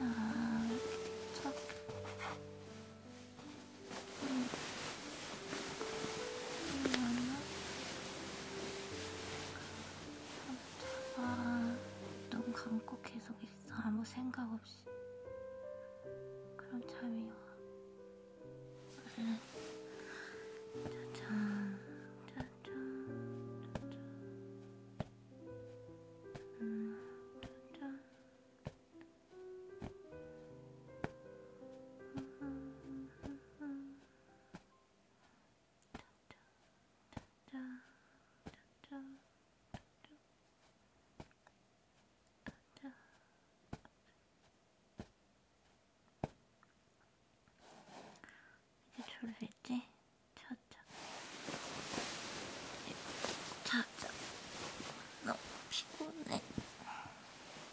야, 감자가 아, 눈 감고 계속 있어 아무 생각 없이 그럼 잠이 와 얼른 음. 짜잔 짜잔 짜잔 음 짜잔 이제 졸리지? 자자 자자 너무 피곤해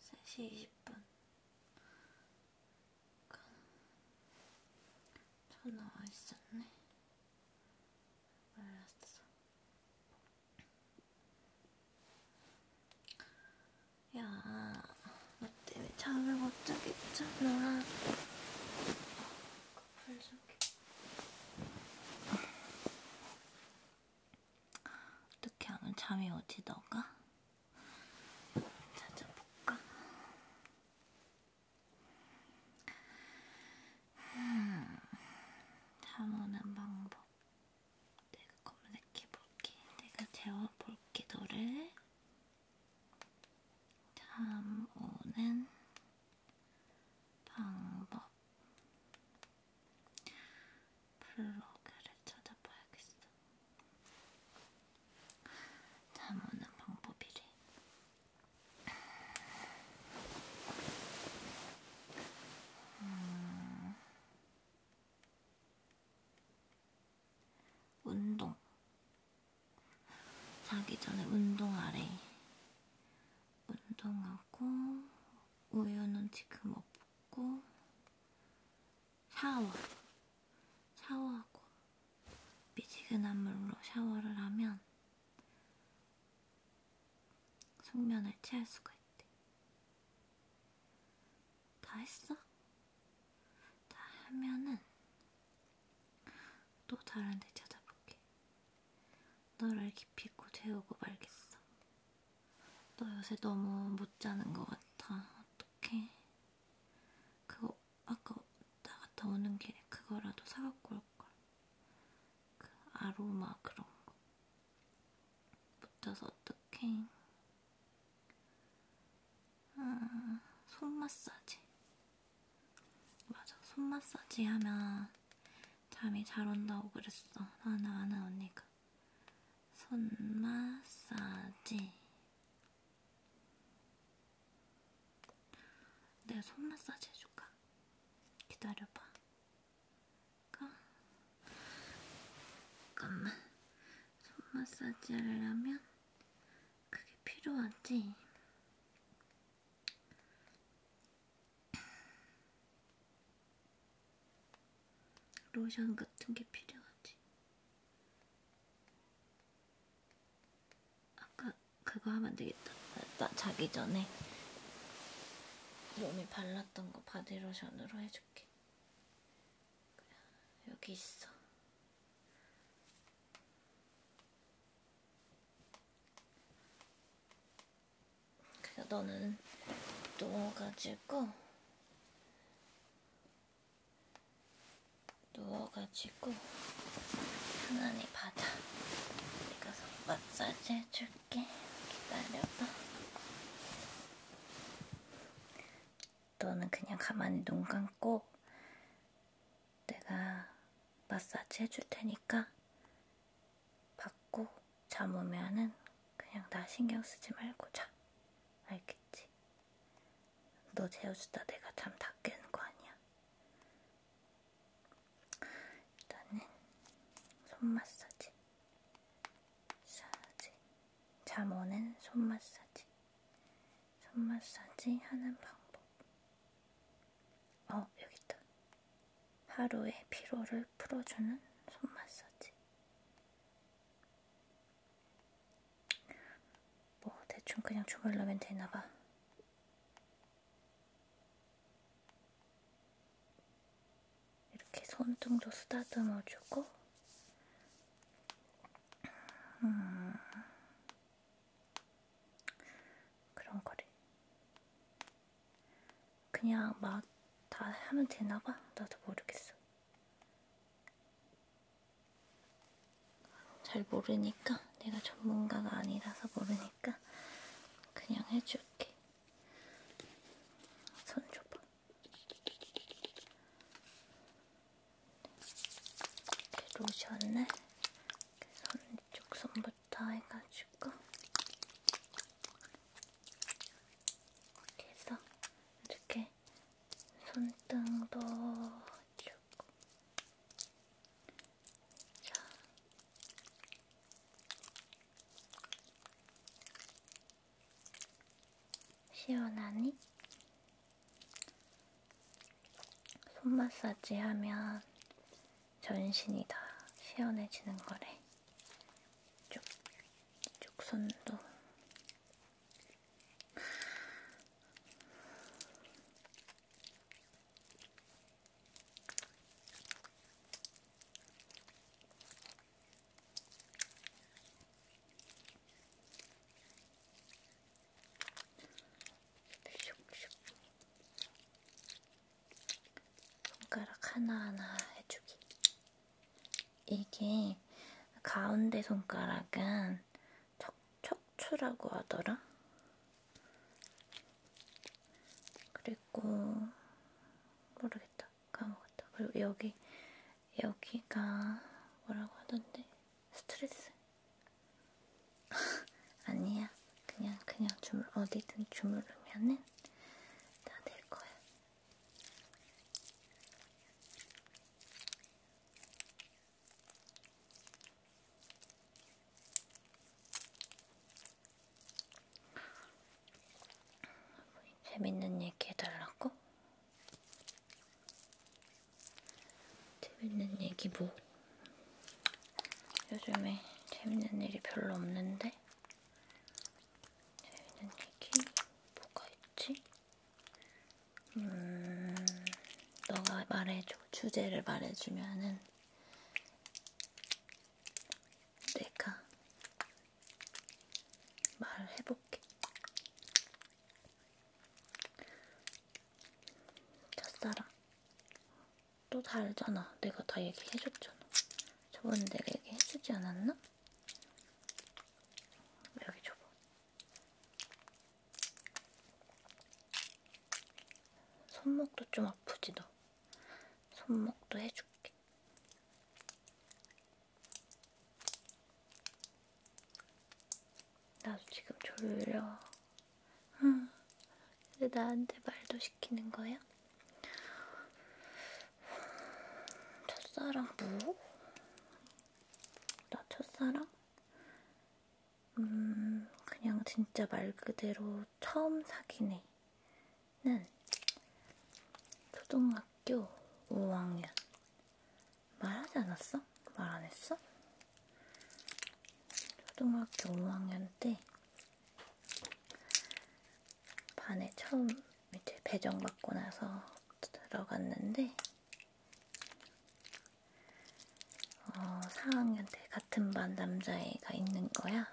3시 20분 전화와 있었네 몰랐어 야, 너 때문에 잠을 못 자겠잖아 커플 좀 어떻게 하면 잠이 오지 너가? 찾아볼까? 음, 잠오는 방법. 내가 검색해볼게. 내가 재워볼게, 너를. 잠오는 방법. 블로그를 찾아봐야겠어. 잠오는 방법이래. 음... 운동. 자기 전에 운동하래. 운동하고, 우유는 지금 없고, 샤워. 샤워하고 미지근한 물로 샤워를 하면 숙면을 취할 수가 있대. 다 했어? 다 하면은 또 다른 데 찾아볼게. 너를 깊이 고 재우고 말겠어. 너 요새 너무 못 자는 것 같아. 어떡해. 그거 아까 나갔다 오는 길에 그거라도 사갖고 올걸. 그 아로마 그런 거. 못 자서 어떡해. 음, 손 마사지. 맞아, 손 마사지 하면 잠이 잘 온다고 그랬어. 나는 아는 언니가. 손 마사지. 내가 손 마사지 해줄까? 기다려봐. 잠깐만. 손 마사지 하려면 그게 필요하지. 로션 같은 게 필요하지. 아까 그거 하면 되겠다. 나 자기 전에 몸에 발랐던 거 바디로션으로 해줄게. 그래, 여기 있어. 그래서 너는 누워가지고 누워가지고 하나님 받아. 내가 마사지 해줄게. 기다려봐. 너는 그냥 가만히 눈 감고 내가 마사지 해줄 테니까 받고 잠 오면은 그냥 나 신경 쓰지 말고 자. 알겠지? 너 재워주다 내가 잠 다 깨는 거 아니야? 일단은 손 마사지 마사지 잠 오는 손 마사지 손 마사지 하는 방법 어 여기 있다 하루의 피로를 풀어주는 손 마사지 뭐 대충 그냥 조별러면 되나봐. 이렇게 손등도 쓰다듬어주고 음, 그런 거를 그냥 막 다 하면 되나봐? 나도 모르겠어. 잘 모르니까 내가 전문가가 아니라서 모르니까 그냥 해줄게. 손 줘봐. 이렇게 로션을 손쪽 손부터 해가지고 이렇게 해서 이렇게 손등도 주고 자. 시원하니? 손 마사지 하면 전신이 다 시원해지는 거래. 쭉, 쭉 손도 손가락 하나하나 해주기. 이게 가운데 손가락은 척척추라고 하더라. 그리고 모르겠다. 까먹었다. 그리고 여기 여기가 뭐라고 하던데 스트레스. 아니야. 그냥 그냥 주물 어디든 주무르면은 다 될 거야. 재밌는 얘기 해달라고? 재밌는 얘기 뭐? 요즘에 재밌는 일이 별로 없는데 재밌는 얘기 뭐가 있지? 음, 너가 말해줘. 주제를 말해주면은 내가 말을 해볼게. 첫사랑. 또 다르잖아. 내가 다 얘기해줬잖아. 저번에 내가 얘기해주지 않았나? 여기 줘봐. 손목도 좀 아프지 너. 손목도 해줄게. 나도 지금 졸려. 근데 나한테 말도 시키는 거야? 첫사랑 뭐? 나 첫사랑? 음, 그냥 진짜 말 그대로 처음 사귄 애는 초등학교 5학년. 말하지 않았어? 말 안 했어? 초등학교 5학년 때 반에 처음 이제 배정받고 나서 들어갔는데 어, 4학년 때 같은 반 남자애가 있는 거야.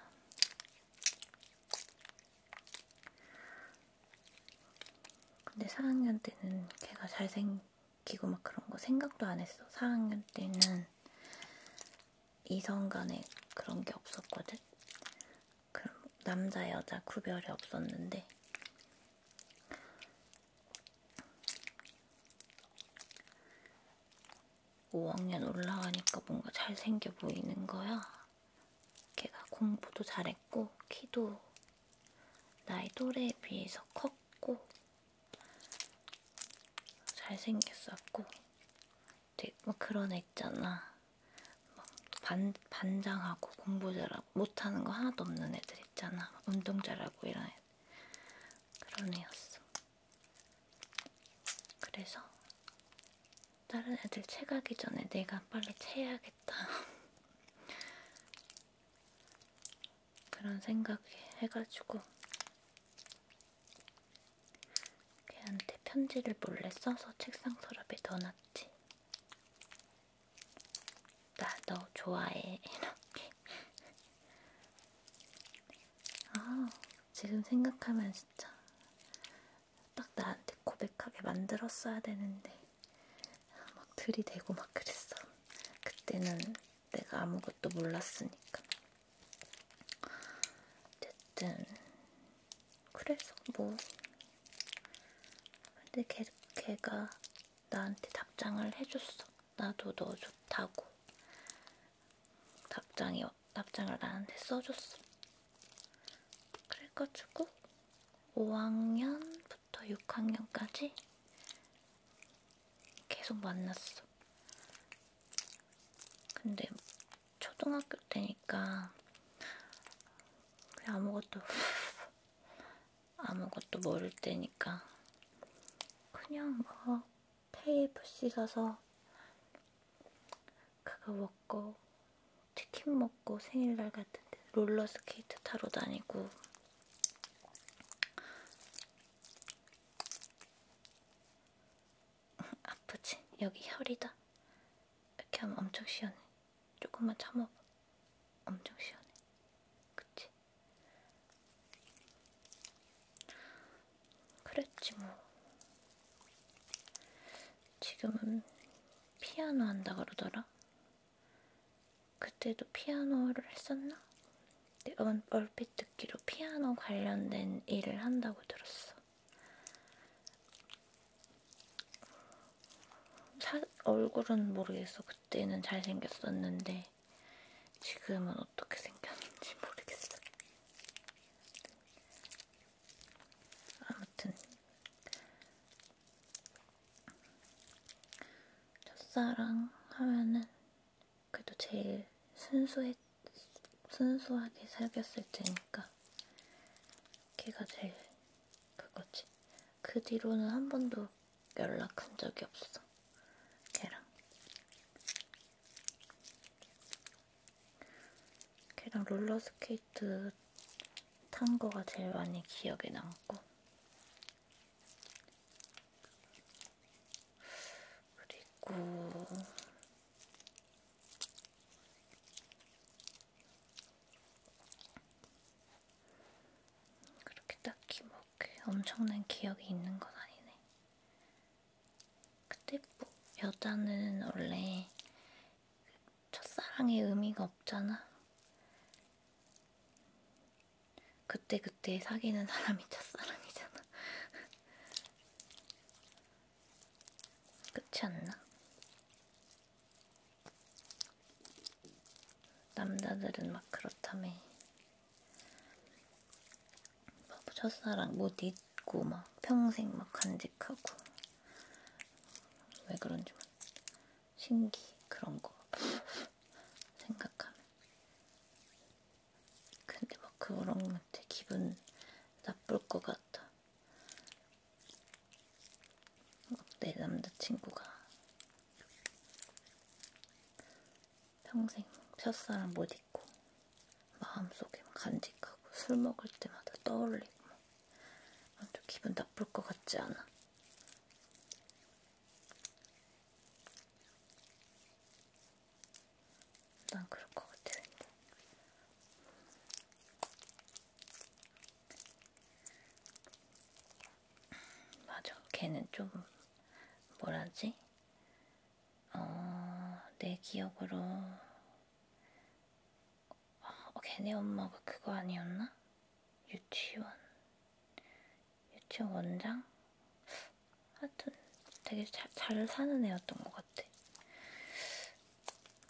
근데 4학년 때는 걔가 잘생기고 막 그런 거 생각도 안 했어. 4학년 때는 이성 간에 그런 게 없었거든. 그럼 남자 여자 구별이 없었는데 (5학년) 올라가니까 뭔가 잘생겨 보이는 거야 걔가 공부도 잘했고 키도 나이 또래에 비해서 컸고 잘생겼었고 되게 뭐 그런 애 있잖아 막 반, 반장하고 공부 잘하고 못하는 거 하나도 없는 애들 있잖아. 운동 잘하고 이런 애들. 그런 애였어. 그래서 다른 애들 채가기 전에 내가 빨리 채야겠다. 그런 생각 해가지고 걔한테 편지를 몰래 써서 책상 서랍에 넣어놨지. 나너 좋아해 이렇게 아 지금 생각하면 진짜 딱 나한테 고백하게 만들었어야 되는데 막 들이대고 막 그랬어 그때는 내가 아무것도 몰랐으니까 어쨌든 그래서 뭐 근데 걔, 걔가 나한테 답장을 해줬어. 나도 너 좋다고 답장이 답장을 나한테 써줬어. 그래가지고 5학년부터 6학년까지 계속 만났어. 근데 초등학교 해줄 테니까 그냥 아무것도 아무것도 모를 때니까 그냥 뭐 KFC 가서 그거 먹고 치킨 먹고 생일날 같은데 롤러스케이트 타러 다니고 아프지? 여기 혈이다. 이렇게 하면 엄청 시원해. 조금만 참아봐. 엄청 시원해. 그치? 그랬지 뭐. 지금은 피아노 한다 그러더라. 그때도 피아노를 했었나? 내가 네, 얼핏 듣기로 피아노 관련된 일을 한다고 들었어. 차, 얼굴은 모르겠어. 그때는 잘생겼었는데 지금은 어떻게 생겼는지 모르겠어. 아무튼 첫사랑 하면은 그래도 제일 순수했, 순수하게 사귀었을 때니까 걔가 제일 그거지. 그 뒤로는 한 번도 연락한 적이 없어. 걔랑. 걔랑 롤러스케이트 탄 거가 제일 많이 기억에 남고. 그리고 그렇게 딱히 뭐 엄청난 기억이 있는 건 아니네. 그때 뭐 여자는 원래 첫사랑의 의미가 없잖아. 그때 그때 사귀는 사람이 첫사랑이잖아. 그렇지 않나? 남자들은 막 그렇다며 막 뭐 첫사랑 못 뭐 잊고 막 평생 막 간직하고 왜 그런지 막 신기 그런 거 생각하면 근데 막 그런 거 되게 기분 나쁠 것 같아 어때 남자친구가 평생 펴사람 못 잊고 마음속에 간직하고 술 먹을 때마다 떠올리고 완전 기분 나쁠 것 같지 않아? 난 그럴 것 같아 왠지 맞아, 걔는 좀 뭐라지? 어, 내 기억으로 어, 걔네 엄마가 그거 아니었나? 유치원 유치원 원장? 하여튼 되게 잘, 잘 사는 애였던 것 같아.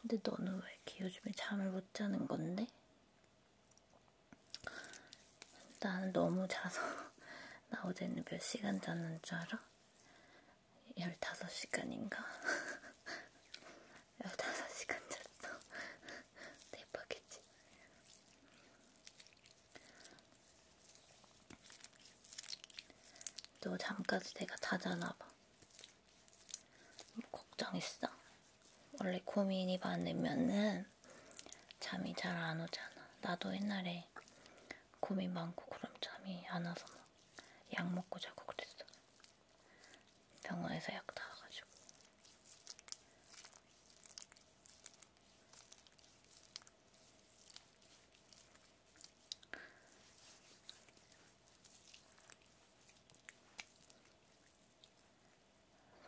근데 너는 왜 이렇게 요즘에 잠을 못 자는 건데? 나는 너무 자서 나 어제는 몇 시간 잤는 줄 알아? 15시간인가? 15시간 잤어. 대박이지? 너 잠까지 내가 자잖아 봐. 걱정했어? 원래 고민이 많으면은 잠이 잘 안 오잖아. 나도 옛날에 고민 많고 그럼 잠이 안 와서 막 약 먹고 자고 그랬어. 병원에서 약 타가지고.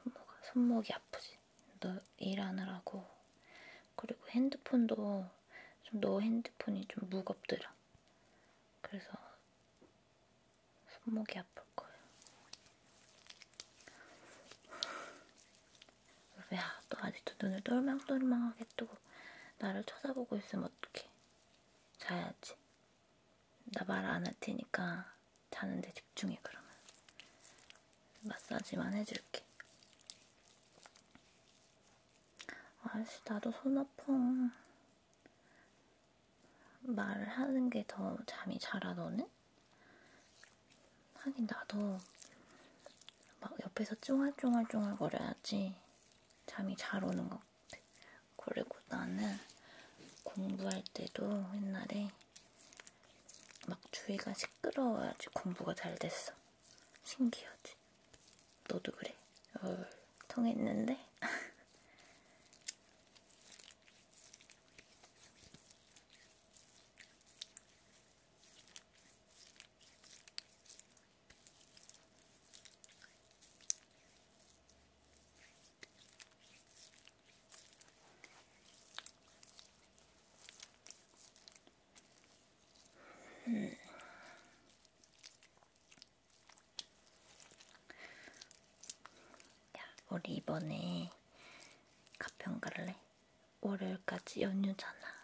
손목, 손목이 아프지? 너 일하느라고. 그리고 핸드폰도 좀 너 핸드폰이 좀 무겁더라. 그래서 손목이 아플 거야. 야, 너 아직도 눈을 똘망똘망하게 뜨고 나를 쳐다보고 있으면 어떡해. 자야지. 나말안할 테니까 자는데 집중해 그러면 마사지만 해줄게. 아씨 나도 손 아파. 말을 하는 게 더 잠이 잘아 너는? 하긴 나도 막 옆에서 쫑알쫑알쫑알 거려야지 잠이 잘 오는 것 그리고 나는 공부할 때도 옛날에 막 주위가 시끄러워야지 공부가 잘 됐어. 신기하지? 너도 그래? 어, 통했는데? 음. 야, 우리 이번에 가평 갈래? 월요일까지 연휴잖아.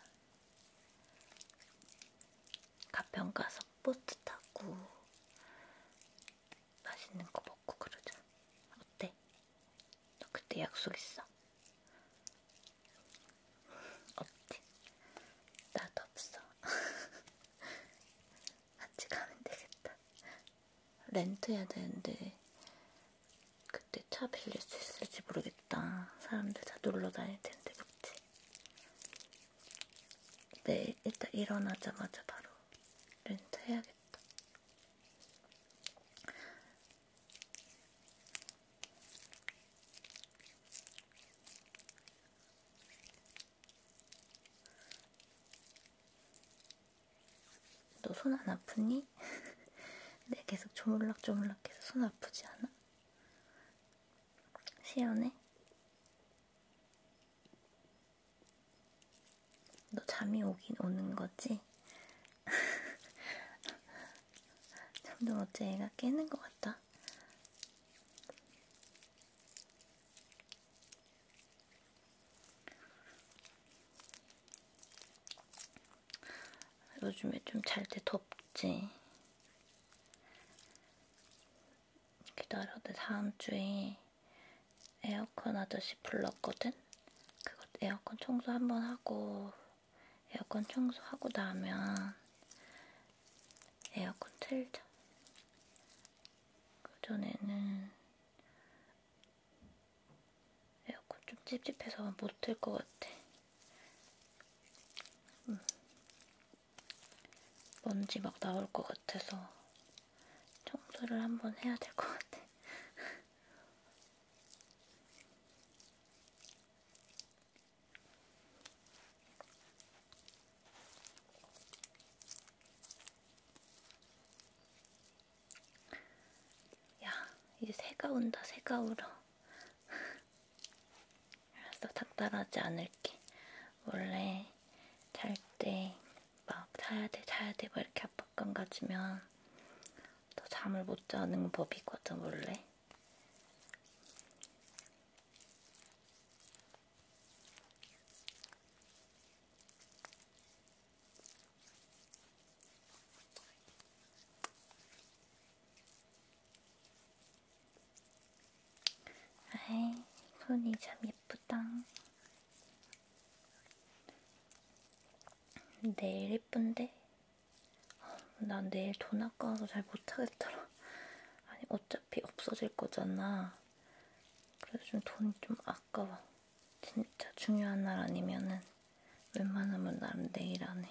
가평 가서 버스 타고 맛있는 거 먹고 그러자. 어때? 너 그때 약속 있어? 없지? 나도 없어. 같이 가면 되겠다. 렌트해야 되는데 그때 차 빌릴 수 있을지 모르겠다. 사람들 다 놀러 다닐 텐데, 그치? 네, 일단 일어나자마자 바로 렌트 해야겠다. 너 손 안 아프니? 네, 계속 조물락조물락해서 손 아프지 않아? 시원해? 너 잠이 오긴 오는 거지? 점점 어째 애가 깨는 것 같다. 요즘에 좀 잘 때 덥지. 기다려. 내 다음 주에 에어컨 아저씨 불렀거든? 그것 에어컨 청소 한번 하고, 에어컨 청소하고 나면 에어컨 틀자. 그전에는 에어컨 좀 찝찝해서 못 틀 것 같아. 음. 먼지 막 나올 것 같아서 청소를 한번 해야 될 것 같아. 야, 이제 새가 온다, 새가 울어. 알았어, 닥달하지 않을게. 원래 잘 때 막 자야 돼, 자야 돼, 막 이렇게 압박감 가지면 더 잠을 못 자는 법이거든, 원래. 아이, 손이 참 예쁘다. 내일 예쁜데? 난 내일 돈 아까워서 잘 못하겠더라. 아니, 어차피 없어질 거잖아. 그래서 좀 돈이 좀 아까워. 진짜 중요한 날 아니면은 웬만하면 나는 내일 안 해.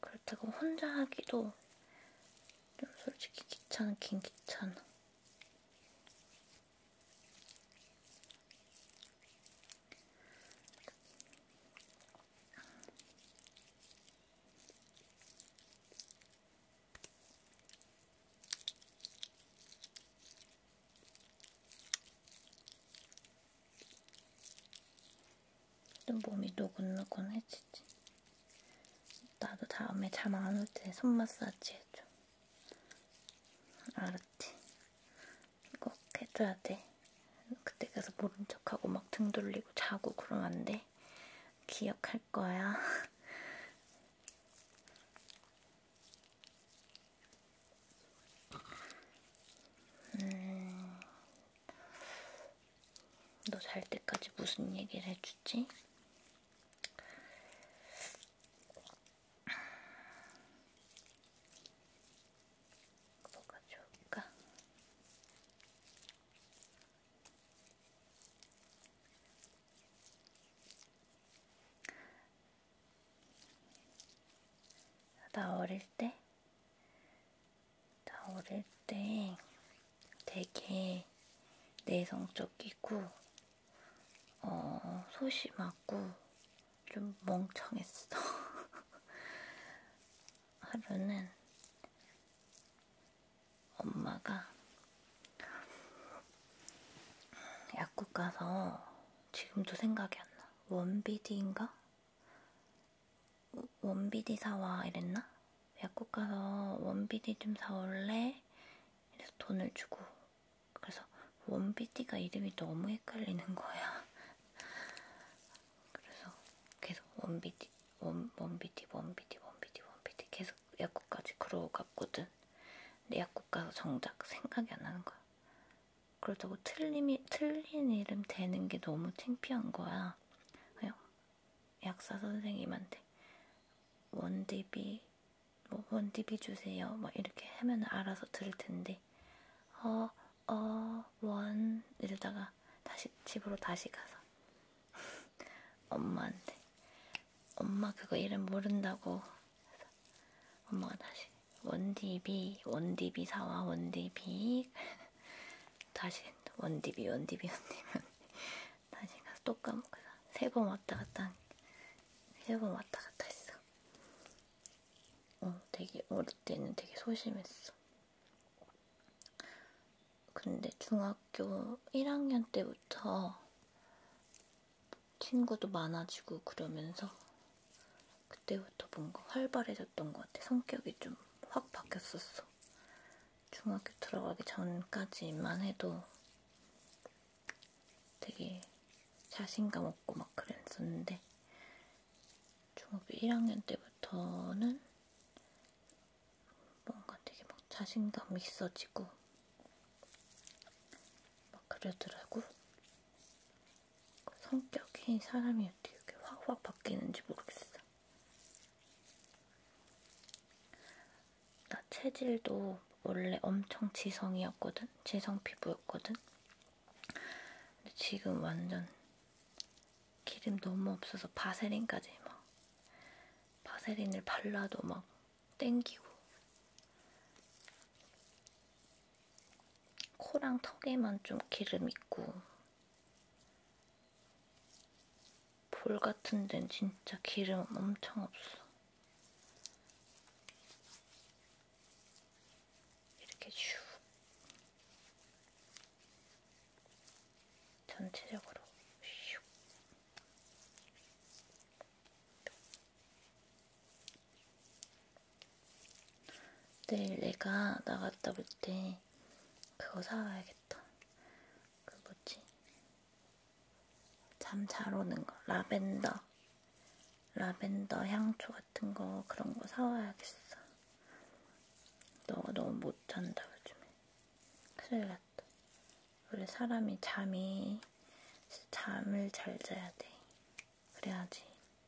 그렇다고 혼자 하기도 좀 솔직히 귀찮긴 귀찮아. 좀 몸이 노곤노곤해지. 마사지. 나도 다음에 잠 안 올 때 손 마사지 해줘. 알았지? 꼭 해줘야 돼. 그때 가서 모른 척하고 막 등 돌리고 자고 그러면 안 돼. 기억할 거야. 음, 너잘 때까지 무슨 얘기를 해주지? 뭐가 좋을까? 나 어릴 때나 어릴 때 되게 내성적이고 어, 소심하고 좀 멍청했어. 하루는 엄마가 약국 가서 지금도 생각이 안 나. 원비디인가? 원비디 사와 이랬나? 약국 가서 원비디 좀 사올래? 그래서 돈을 주고 그래서 원비디가 이름이 너무 헷갈리는 거야. 그래서 계속 원비디 원, 원비디 원비디 원비디 원비디 계속 약국까지 그러고 갔거든. 근데 약국 가서 정작 생각이 안 나는 거야. 그렇다고 틀림이, 틀린 이름 되는 게 너무 창피한 거야. 그냥 약사 선생님한테 원디비 뭐 원디비 주세요 막 뭐 이렇게 하면 알아서 들을 텐데 어어원 이러다가 다시 집으로 다시 가서 엄마한테 엄마 그거 이름 모른다고 해서 엄마가 다시 원디비 원디비 사와 원디비 다시 원디비 원디비 원디비 나중에 가서 또 까먹어서 세 번 왔다 갔다 세번 왔다 갔다 했어. 어, 되게 어릴 때는 되게 소심했어. 근데 중학교 1학년 때부터 친구도 많아지고 그러면서 그때부터 뭔가 활발해졌던 것 같아. 성격이 좀 확 바뀌었었어. 중학교 들어가기 전까지만 해도 되게 자신감 없고 막 그랬었는데 중학교 1학년 때부터는 뭔가 되게 막 자신감이 있어지고 막 그러더라고. 성격이 사람이 어떻게 확확 바뀌는지 모르겠어. 나 체질도 원래 엄청 지성이었거든? 지성 피부였거든? 근데 지금 완전 기름 너무 없어서 바세린까지 막 바세린을 발라도 막 땡기고 코랑 턱에만 좀 기름 있고 볼 같은 데는 진짜 기름 엄청 없어. 이렇게 슈. 전체적으로 슉. 내일 내가 나갔다 올 때 그거 사와야겠다. 그 뭐지? 잠 잘 오는 거 라벤더 라벤더 향초 같은 거 그런 거 사와야겠어. 너가 너무 못 잔다 요즘에. 큰일 났다. 원래 사람이 잠이 잠을 잘 자야 돼. 그래야지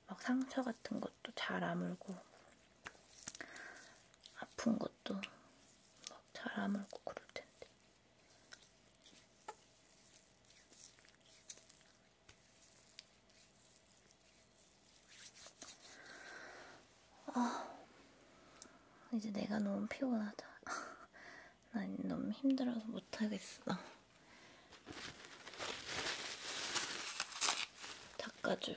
막 상처 같은 것도 잘 아물고 아픈 것도 막잘 아물고 그럴 텐데. 아, 이제 내가 너무 피곤하다. 난 너무 힘들어서 못하겠어. 닦아줘.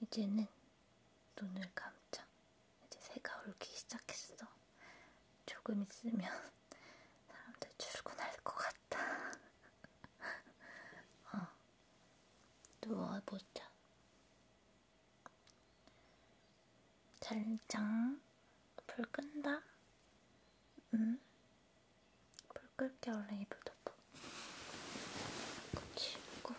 이제는 눈을 감자. 이제 새가 울기 시작했어. 조금 있으면 사람들 출근할 것 같다. 어. 누워보자. 잘장. 불 끈다. 응? 불끌때 원래 입을 덮어. 치우고.